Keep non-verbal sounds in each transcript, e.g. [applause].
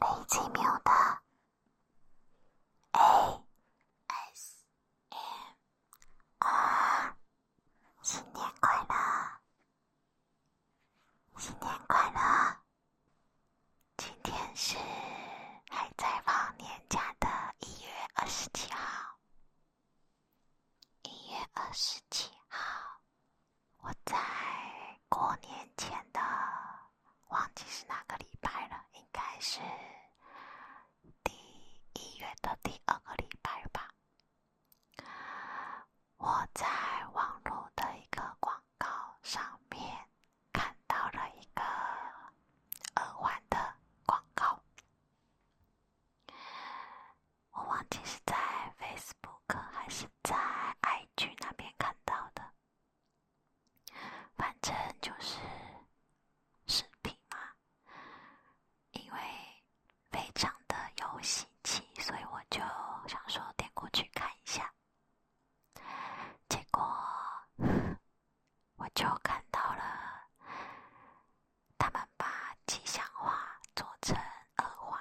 零奇秒的 A S M R，新年快乐，新年快乐！今天是还在放年假的一月二十七号，一月二十七号。我在过年前的忘记是哪个礼拜了，应该是第一月的第二个礼拜吧。我在网络的一个广告上面看到了一个耳环的广告，我忘记是在 Facebook 还是在 i g 那边看到的。反正就是视频嘛，因为非常的有喜气，所以我就想说点过去看一下，结果我就看到了他们把吉祥话做成耳环。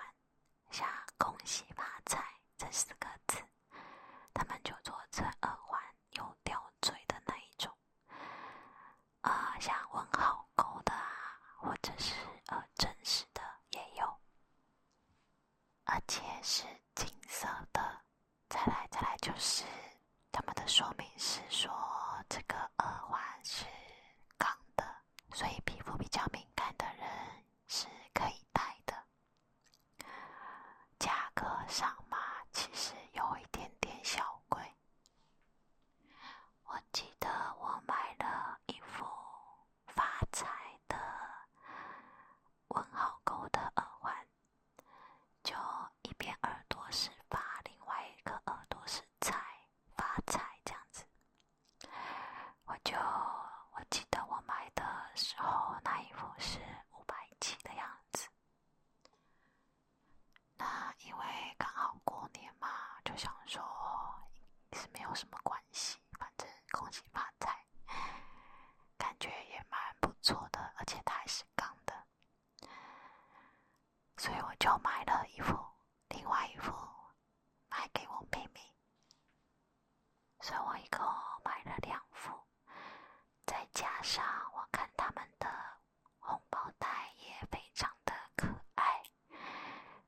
像“恭喜发财”这四个字，他们就做成耳环有吊坠的那一种。呃，像问号勾的啊，或者是呃真实的也有，而且是金色的。再来，再来就是他们的说明是说，这个耳环是钢的，所以皮肤比较敏感的人是可以戴的。价格上嘛，其实有一点点小贵。我记得我买了一副发财的问号狗的耳环，就一边耳朵是发，另外一个耳朵是财，发财这样子。我就我记得我买的时候那一副是五百几的样子，那因为刚好过年嘛，就想说是没有什么关系，反正恭喜发财，感觉也蛮不错的，而且它还是钢的，所以我就买了一副，另外一副买给我妹妹。所以我一共买了两副，再加上我看他们的红包袋也非常的可爱，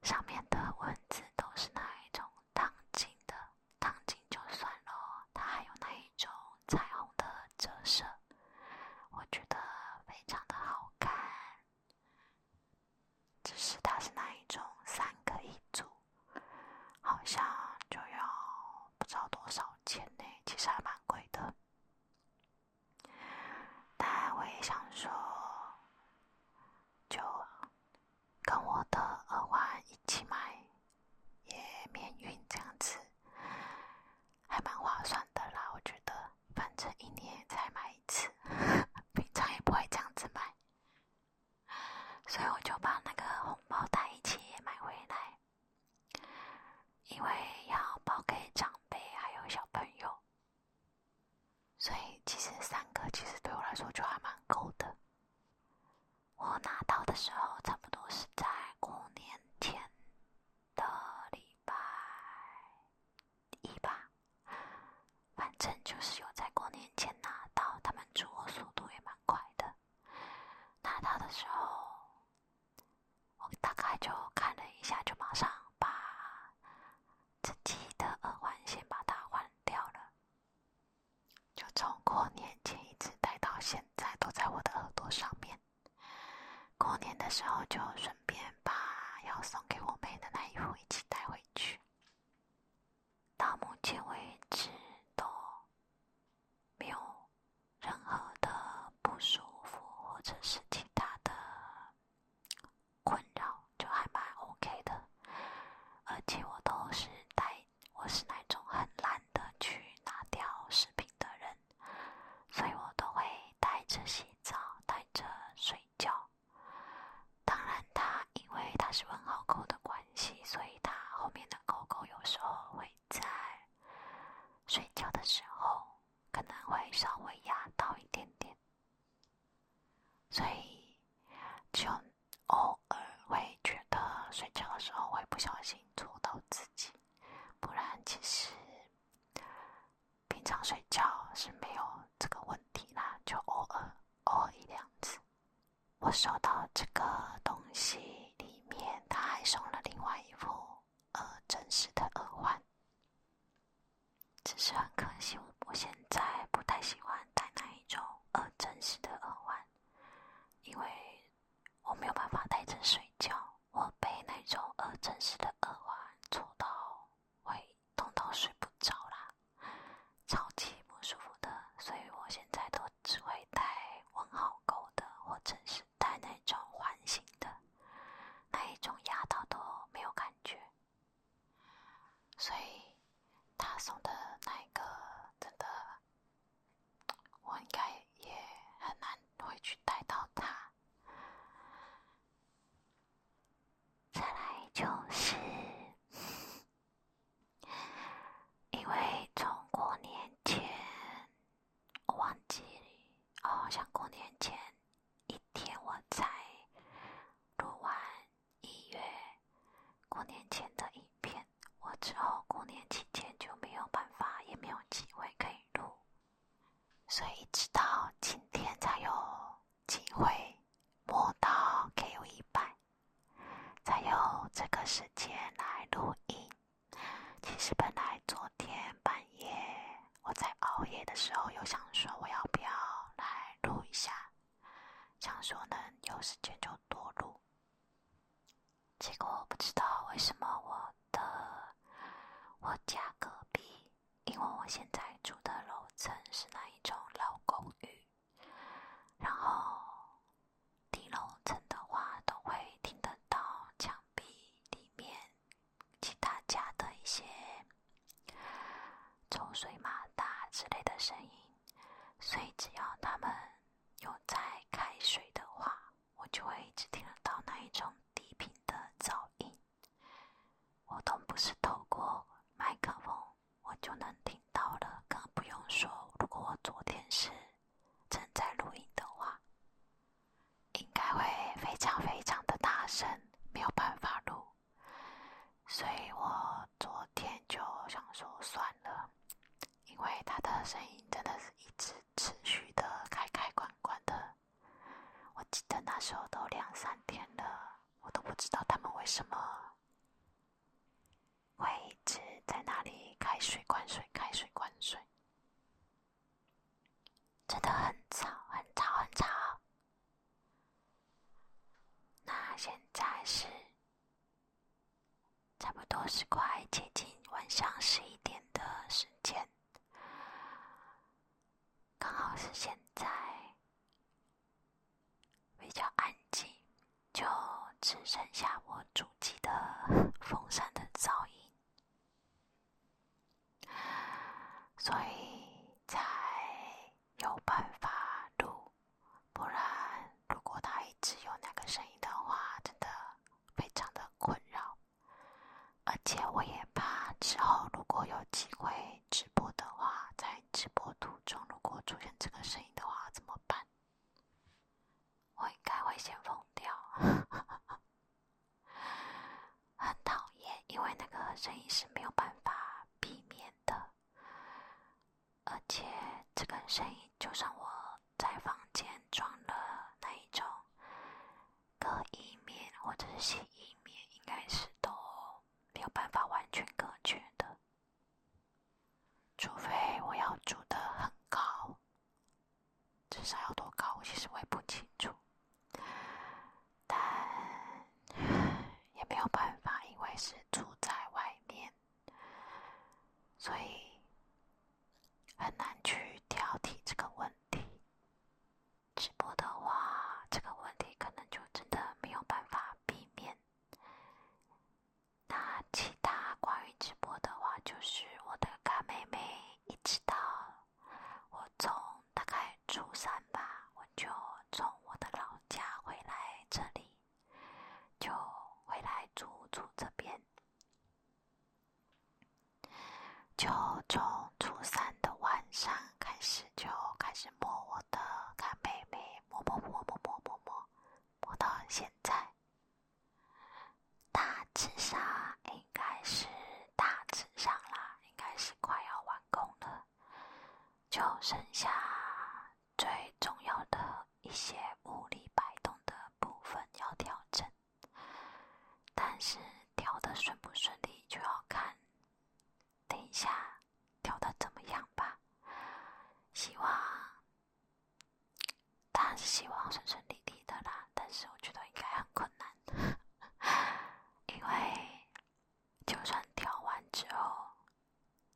上面的文字都是那一种烫金的，烫金就算了，它还有那一种彩虹的折射，我觉得非常的好看，只是它是那一种三个一组。好像就要不知道多少钱呢，其实还蛮贵的。但我也想说，就跟我的耳环一起买，也免运这样子，还蛮划算的啦。我觉得，反正一年才买一次，[laughs] 平常也不会这样子买。所以我就把那个红包袋一起也买回来，因为要包给长辈还有小朋友。所以其实三个其实对我来说就还蛮够的。我拿到的时候差不多是在过年前的礼拜一吧。反正就是有在过年前拿到，他们出货速度也蛮快的。拿到的时候，我大概就看了一下，就马上把自己的耳环先把它换掉了。就从过年前一直戴到现在，都在我的耳朵上面。过年的时候就顺便把要送给我妹的那一副一起带回去。到目前为止都没有任何的不舒服或者是其他的困扰，就还蛮 OK 的。而且我都是带，我是那种很懒得去拿掉饰品的人，所以我都会带着洗澡，带着睡觉。当然，它因为它是问号狗的关系，所以它后面的狗狗有时候会在睡觉的时候可能会稍微压到一点点，所以就偶尔会觉得睡觉的时候会不小心戳到自己。不然，其实平常睡觉是没有这个问题啦，就偶尔偶尔一两次。我收到这个东西里面，他还送了另外一副呃真实的耳环，只是很可惜，我我现在不太喜欢戴那一种呃真实的耳环，因为我没有办法戴着睡觉，我被那种呃真实的耳环戳到会痛到睡不着啦。超级不舒服的，所以我现在都只会戴问号钩的，或者是戴那种环形的，那一种压到都没有感觉。所以他送的那一个真的，我应该也很难会去戴到它。再来就是。因为从过年前，我忘记哦，好像过年前一天我才录完一月过年前的影片，我之后过年期间就没有办法，也没有机会可以录，所以直到今天才有机会摸到 K 一百。才有这个时间来录音。其实本来昨天半夜我在熬夜的时候，有想说我要不要来录一下，想说能有时间就多录。结果我不知道为什么我的我家隔壁，因为我现在住的楼层是那一种老公寓。然后，低楼层的话都会听得到墙壁里面其他家的一些抽水马达之类的声音，所以只要他们有在开水的话，我就会一直听得到那一种低频的噪音。我都不是透过麦克风。我就能听到了，更不用说，如果我昨天是正在录音的话，应该会非常非常的大声，没有办法录。所以我昨天就想说算了，因为他的声音真的是一直持续的开开关关的。我记得那时候都两三点了，我都不知道他们为什么。会一直在那里开水灌水，开水灌水，真的很吵，很吵，很吵。那现在是差不多是快接近晚上十一点的时间，刚好是现在。比较安静，就只剩下我主机的 [laughs] 风扇的噪音，所以才有办法录。不然，如果它一直有那个声音的话，真的非常的困扰，而且我也怕之后如果有机会直播的话，再。直播途中如果出现这个声音的话怎么办？我应该会先疯掉，[laughs] 很讨厌，因为那个声音是没有办法避免的，而且这个声音就算我在房间装了那一种隔音棉或者是吸音棉，应该是都没有办法完全隔绝的。除非我要住的很高，至少要多高？我其实我也不清楚，但也没有办法，因为是住在外面，所以很难去挑剔这个问题。直播的话，这个问题可能就真的没有办法避免。那其他关于直播的话，就是我的干妹妹，一直到我从大概初三吧，我就从我的老家回来这里，就回来住住这边，就从初三的晚上开始就开始摸我的干妹妹，摸摸摸摸摸摸摸。我到现在，大致上应该是大致上啦，应该是快要完工了，就剩下最重要的一些物理摆动的部分要调整，但是调的顺不顺利就要看，等一下。调的怎么样吧？希望，当然是希望顺顺利利的啦。但是我觉得应该很困难，因为就算调完之后，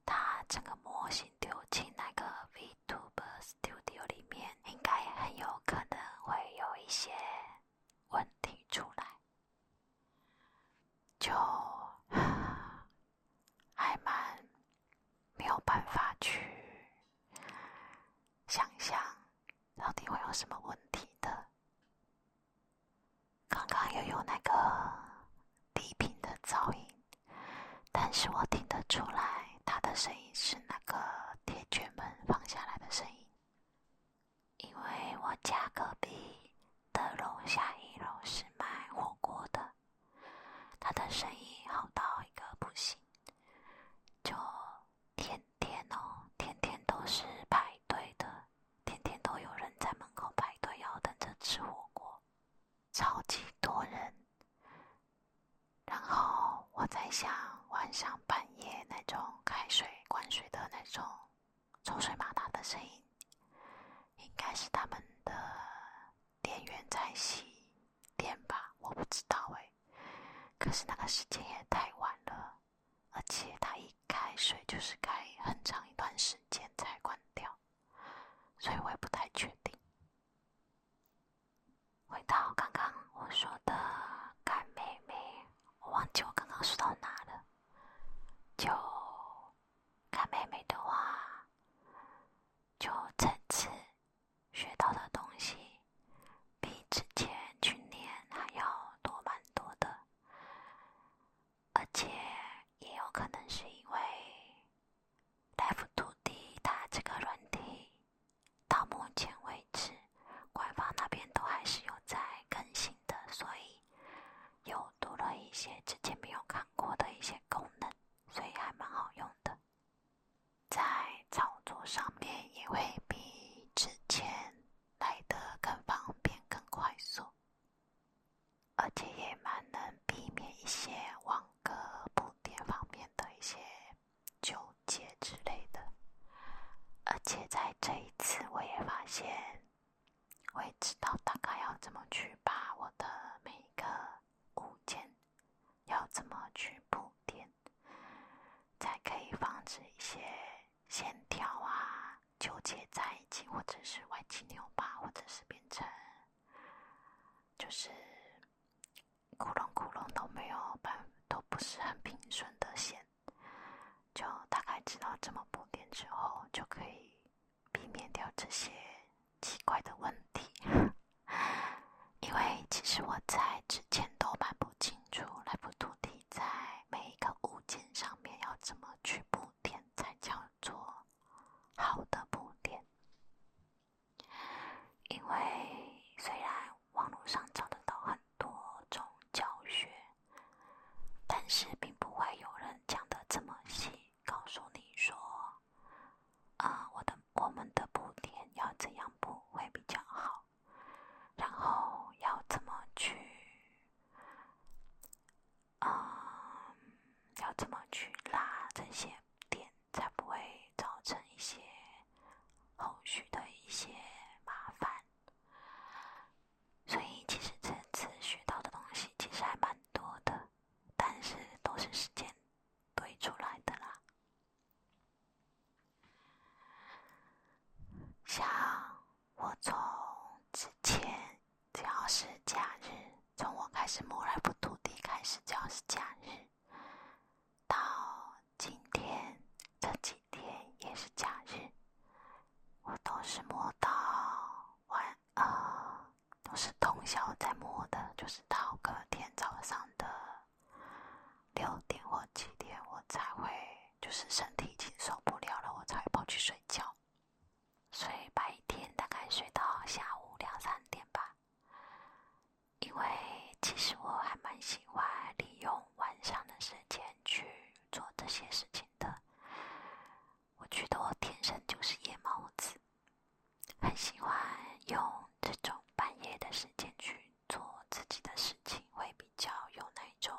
它整个模型丢进那个 VTuber Studio 里面，应该很有可能会有一些问题出来。就。还蛮没有办法去想想到底会有什么问题的。刚刚又有那个低频的噪音，但是我听得出来，它的声音是那个铁卷门放下来的声音，因为我家隔壁的楼下一楼是卖火锅的。他的生意好到一个不行，就天天哦，天天都是排队的，天天都有人在门口排队要等着吃火锅，超级多人。然后我在想，晚上半夜那种开水灌水的那种，抽水马达的声音。应该是他们的电源在熄电吧，我不知道哎。可是那个时间也太晚了，而且它一开水就是开很长一段时间才关掉，所以我也不太确定。回到刚刚我说的干妹妹，我忘记我刚刚说到哪了。就干妹妹的话。就这次学到的东西，比之前去年还要多蛮多的，而且也有可能是因为《Life t o D》它这个软体，到目前为止，官方那边都还是有在更新的，所以又多了一些之前没有看。过的一些功能，所以还蛮好用的，在操作上面也会比之前来的更方便、更快速，而且也蛮能避免一些网格补贴方面的一些纠结之类的。而且在这一次，我也发现。会知道大概要怎么去把我的每一个物件，要怎么去铺垫，才可以防止一些线条啊纠结在一起，或者是歪七扭八，或者是变成就是窟窿窟窿都没有，都不是很平顺的线。就大概知道怎么铺垫之后，就可以。避免掉这些奇怪的问题，[laughs] 因为其实我在之前都蛮不清楚拉普图蒂在每一个物件上面要怎么去铺垫才叫做好的铺垫。因为虽然网络上找得到很多种教学，但是并不会有人讲的这么细。告诉你说，啊，我的我们的补点要怎样补会比较好，然后要怎么去，啊，要怎么去拉这些点才不会造成一些后续的一些麻烦。所以，其实这次学到的东西其实还蛮多的。但是都是时间堆出来的啦。像我从之前，只要是假日，从我开始摸来不土地开始，只要是假日，到今天这几天也是假日，我都是摸到晚。啊，都是通宵在摸的，就是到隔天早上的六点或七点，我才会就是身体已经受不了了，我才会跑去睡觉。所以白天大概睡到下午两三点吧。因为其实我还蛮喜欢利用晚上的时间去做这些事情的。我觉得我天生就是夜猫子，很喜欢用这种半夜的时间去做自己的事情，会比较有那种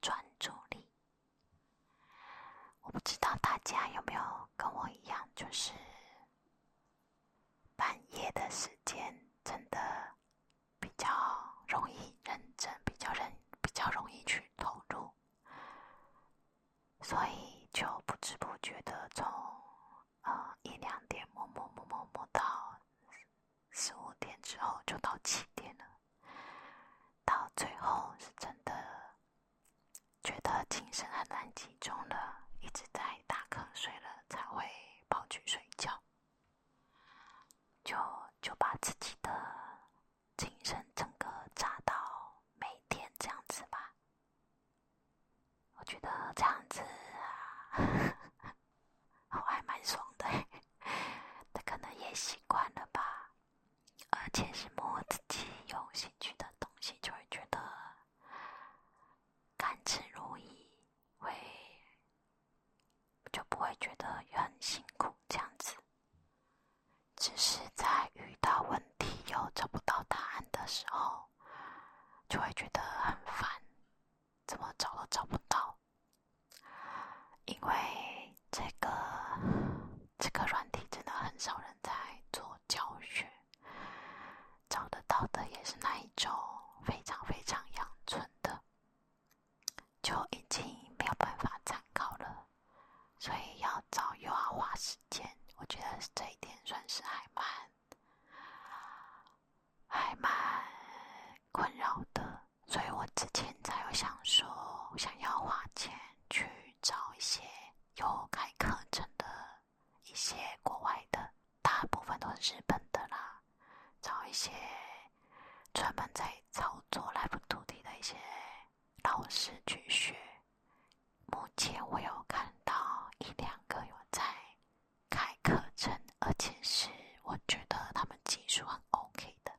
专注力。我不知道大家有没有跟我一样，就是半夜的时间真的比较容易认真，比较认，比较容易去投入。所以就不知不觉的从呃一两点摸摸摸摸摸到十五点之后就到七点了，到最后是真的觉得精神很难集中了，一直在打瞌睡了才会跑去睡觉，就就把自己的。精神整个炸到每天这样子吧，我觉得这样子啊，[laughs] 我还蛮爽的。他可能也习惯了吧，而且是摸自己有兴趣的东西，就会觉得甘之如饴，会就不会觉得很辛苦这样子。只是在遇到问题又找不到答案的时候，就会觉得很烦，怎么找都找不到。因为这个这个软体真的很少人在做教学，找得到的也是那一种非常非常阳存的，就已经没有办法参考了。所以要找又要花时间，我觉得这一点算是还蛮还蛮困扰的，所以我之前才有想说，想要花钱去找一些有开课程的一些国外的，大部分都是日本的啦，找一些专门在操作来 e 土地的一些。老师去学，目前我有看到一两个有在开课程，而且是我觉得他们技术很 OK 的，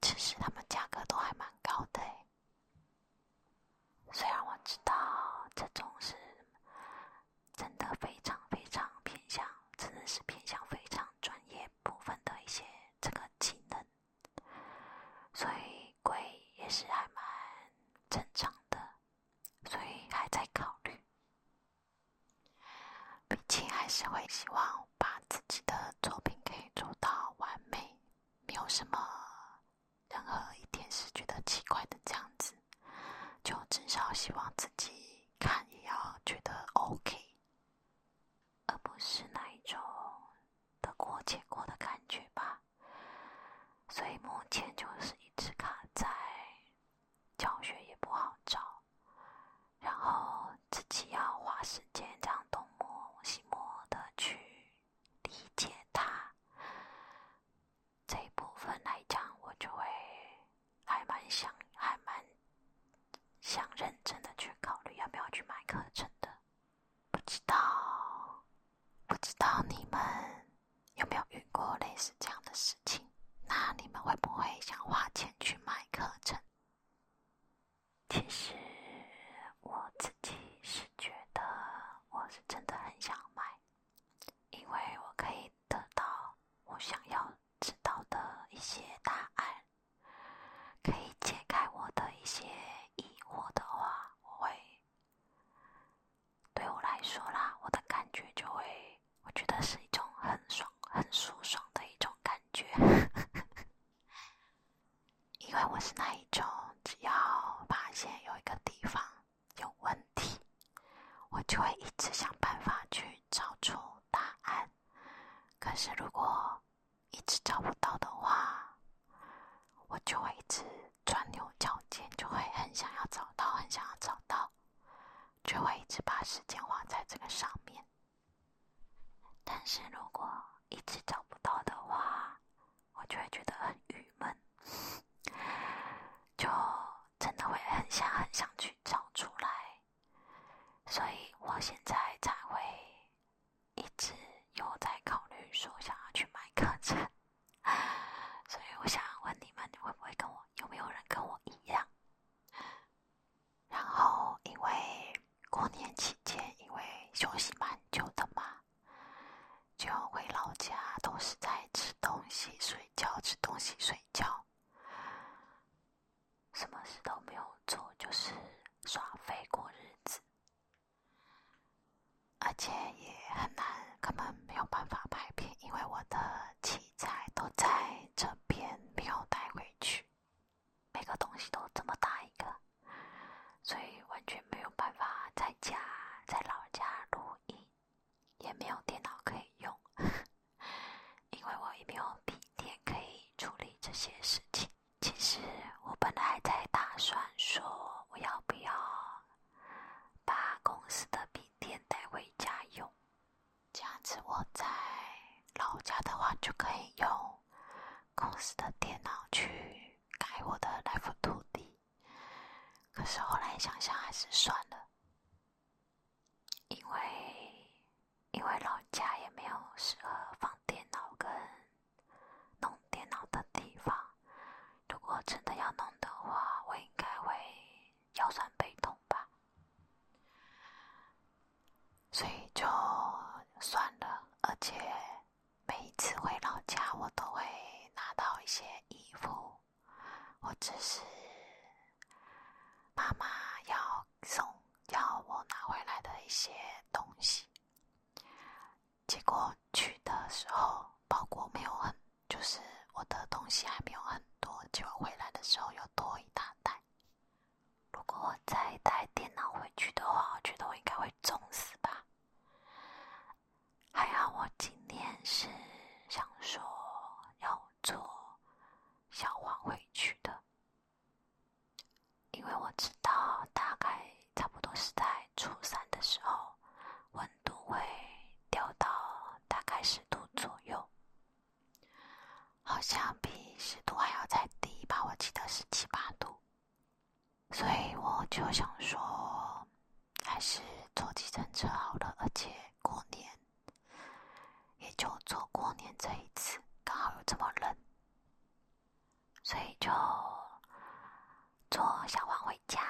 只是他们价格都还蛮高的哎。虽然我知道这种是真的非常非常偏向，真的是偏向非常专业部分的一些这个技能。所以贵也是还蛮正常的，所以还在考虑。毕竟还是会希望把自己的作品可以做到完美，没有什么任何一点是觉得奇怪的这样子。就至少希望自己看也要觉得 OK，而不是那一种。得过且过的感觉吧，所以目前就是一直卡在教学也不好找，然后自己要花时间这样东摸西摸的去理解它这一部分来讲，我就会还蛮想还蛮想认真的去考虑要不要去买课程的。不知道，不知道你们有没有遇过类似这样的事情？那你们会不会想花钱去买课程？其实我自己是觉得，我是真的很想买，因为我可以得到我想要知道的一些答案。可以解开我的一些疑惑的话，我会，对我来说啦，我的感觉就会，我觉得是一种很爽、很舒爽的一种感觉。[laughs] 因为我是那一种，只要发现有一个地方有问题，我就会一直想办法去找出答案。可是如果……一直找不到的话，我就会一直钻牛角尖，就会很想要找到，很想要找到，就会一直把时间花在这个上面。但是如果一直找不到的话，我就会觉得很郁闷，就真的会很想很想去找出来，所以我现在才会。一直有在考虑说想要去买课程，所以我想问你们，会不会跟我有没有人跟我一样？然后因为过年期间，因为休息蛮久的嘛，就回老家都是在吃东西睡觉，吃东西睡觉，什么事都没有做，就是耍废过日子。而且也很难，根本没有办法拍片，因为我的器材都在这边，没有带回去。每个东西都这么大一个，所以完全没有办法在家在老家录音，也没有电脑可以用，[laughs] 因为我也没有笔电可以处理这些事情。其实我本来在打算说，我要不要把公司的笔电带回家用，这样子我在老家的话就可以用公司的电脑去改我的 Life 图地。可是后来想想还是算了，因为因为老家也没有适合放电脑跟。弄电脑的地方，如果真的要弄的话，我应该会腰酸背痛吧，所以就算了。而且每一次回老家，我都会拿到一些衣服，或者是妈妈要送要我拿回来的一些东西。结果去的时候包裹没有很，就是我的东西还没有很多，结果回来的时候又多一大袋。如果我再带电脑回去的话，我觉得我应该会重死吧。还好我今天是想说要坐小黄回去的。因为我知道大概差不多是在初三的时候，温度会掉到大概十度左右，好像比十度还要再低吧？我记得是七八度，所以我就想说，还是坐计程车好了。而且过年也就坐过年这一次，刚好又这么冷。所以就坐小黄回家，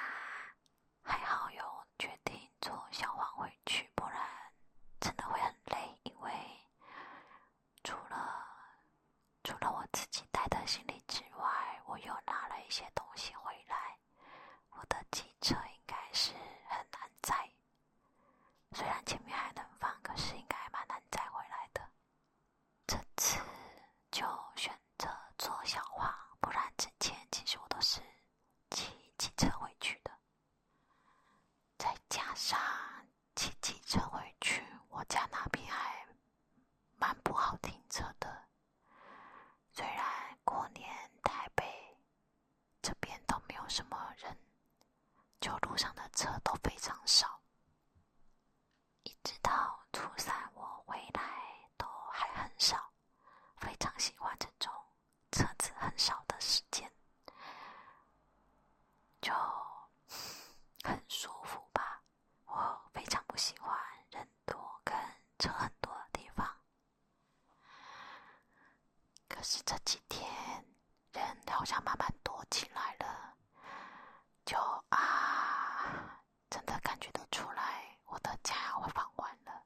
还好有决定坐小黄回去，不然真的会很累。因为除了除了我自己带的行李之外，我又拿了一些东西回来，我的机车应该是很难载。虽然前面还能放，可是应该蛮难载回来的。这次就选择坐小花，不然之前其实我都是骑机车回去的。再加上骑机车回去，我家那边还蛮不好停车的。虽然过年台北这边都没有什么人，就路上的车都非常少。一直到初三我回来都还很少，非常喜欢这种车子很少的时间，就很舒服吧。我非常不喜欢人多跟车很多的地方，可是这几天。人好像慢慢多起来了，就啊，真的感觉得出来，我的假我放完了，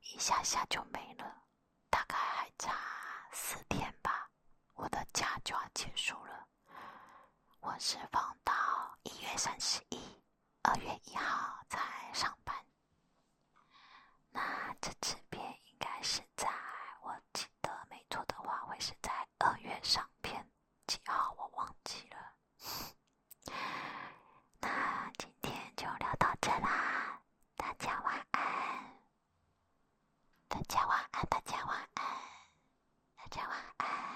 一下下就没了，大概还差四天吧，我的假就要结束了，我是放到一月三十一、二月一号才上班，那这次边应该是在我今。的没错的话，会是在二月上篇几号，我忘记了。那今天就聊到这啦，大家晚安，大家晚安，大家晚安，大家晚安。